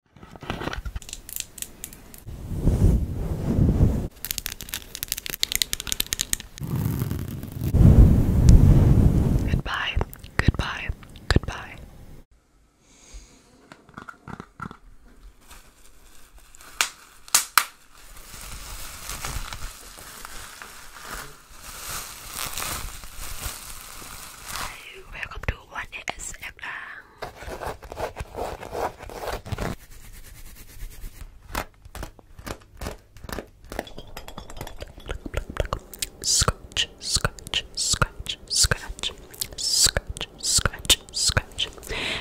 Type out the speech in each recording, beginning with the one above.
Goodbye, goodbye, goodbye. Welcome to One ASMR. Scratch, scratch, scratch, scratch, scratch, scratch, scratch,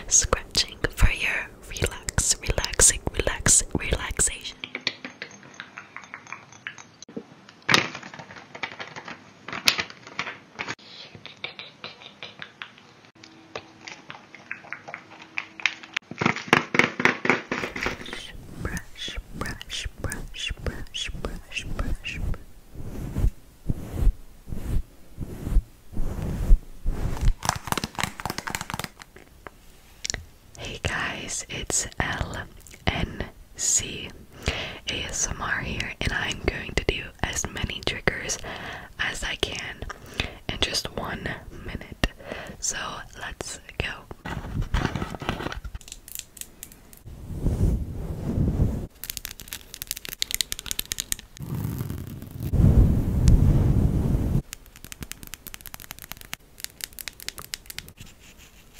scratching for your relax, relaxing, relax, relaxation. Brush, brush, brush, brush, brush, brush. Hey guys, it's L. NC ASMR here, and I'm going to do as many triggers as I can in just one minute. So let's go.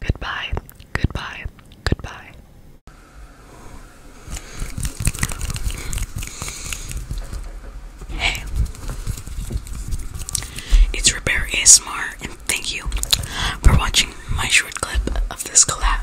Goodbye, goodbye, goodbye. Hey, it's Repair ASMR, and thank you for watching my short clip of this collab.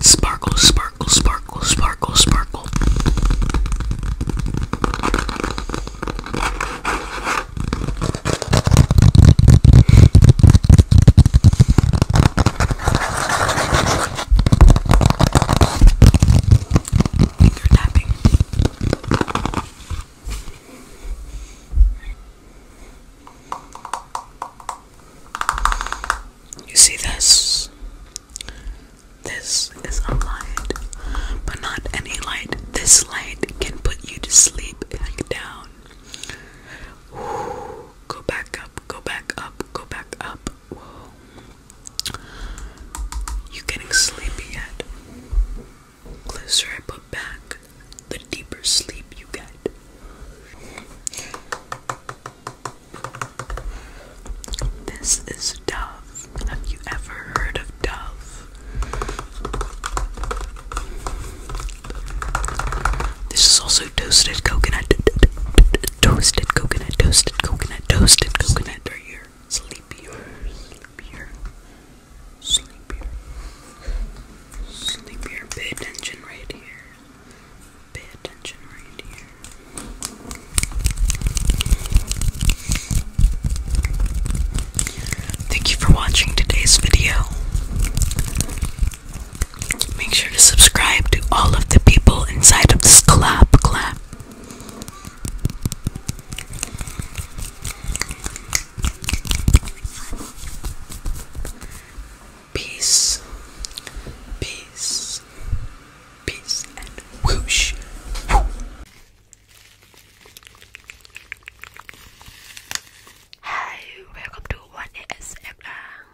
Sparkle, sparkle, sparkle, sparkle, sparkle finger tapping. You see this? This is a light, but not any light. This light can put you to sleep back down. Ooh, go back up, go back up, go back up. You getting sleepy yet? Closer I put back, the deeper sleep you get. This is Dove. Have you ever heard of Dove? This is also toasted coconut toasted coconut, toasted coconut, toasted coconut. Are you sleepier, sleepier, sleepier, sleepier? Pay attention right here. Pay attention right here. Thank you for watching today's video. Make sure to subscribe to all of the people inside of this collab collab. Peace, peace, peace, and whoosh. Hi, welcome to One ASMR.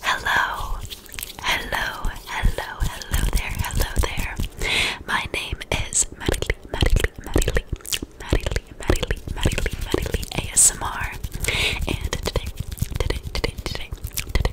Hello, hello, hello, hello there, hello there. My name is Maddie Lee, Maddie Lee, Maddie Lee, Maddie Lee, Maddie Lee, Maddie Lee, Maddie Lee ASMR. And today, today, today, today, today,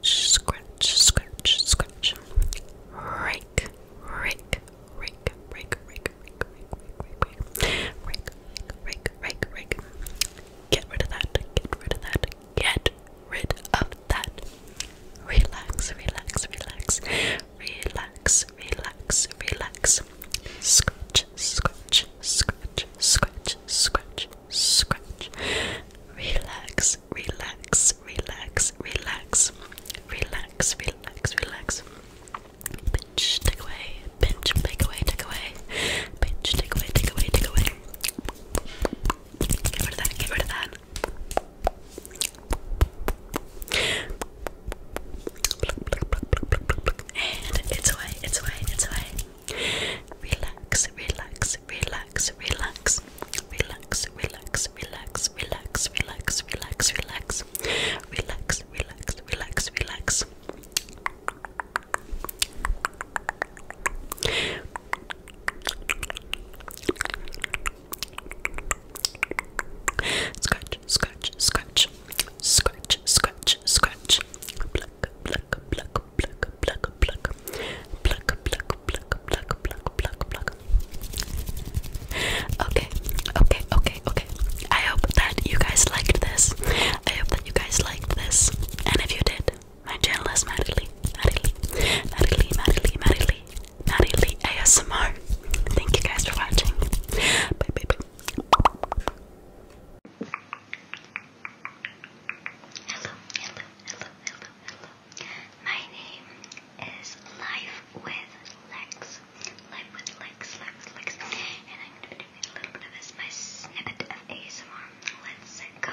scratch, scratch, scratch, scratch. Rake, rake, rake, rake, rake, rake, rake, rake, rake, rake, rake, rake. Get rid of that. Get rid of that. Get rid of that. Relax, relax, relax, relax, relax, relax. Scratch, scratch, scratch, scratch, scratch, scratch. Relax, relax, relax, relax, relax, relax, relax. Pinch, take away, pinch, take away, take away, pinch, take away, take away, take away. Get rid of that, get rid of that. And it's away, it's away, it's away. Relax, relax, relax, relax, relax, relax, relax, relax, relax, relax, relax, relax, relax, relax, relax. Scratch, scratch, scratch, scratch, scratch, scratch, pluck, pluck, pluck, pluck, pluck, pluck, pluck, pluck, pluck, pluck, pluck, pluck, pluck. Okay, okay, okay, okay. I hope that you guys liked this. I hope that you guys liked this. And if you did, my channel is Madly, Madly, Madly, Madly, Madly, Madly ASMR. Thank you guys for watching. Bye, bye, bye. Hello, hello, hello, hello, hello. My name is Life with Lex. Life with Lex, Lex, Lex. And I'm going to be doing a little bit of this, my snippet of ASMR. Let's go.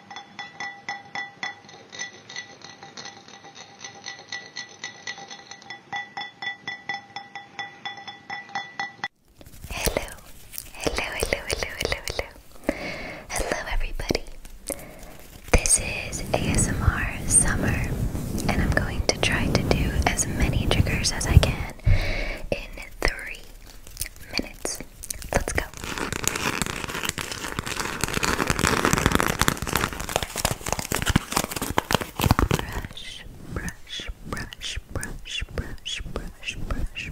Hello, hello, hello, hello, hello, hello. Hello, everybody. This is ASMR Summer, and I'm going to try to do as many triggers as I can in three minutes. Let's go. Brush, brush, brush, brush, brush, brush, brush. Brush.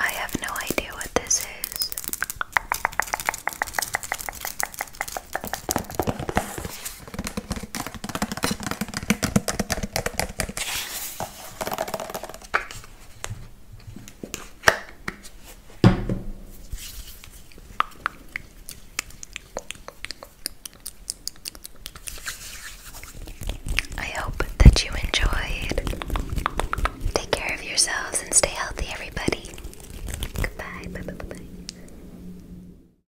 I have no idea what this is. I hope that you enjoyed. Take care of yourselves and stay healthy, everybody. Goodbye.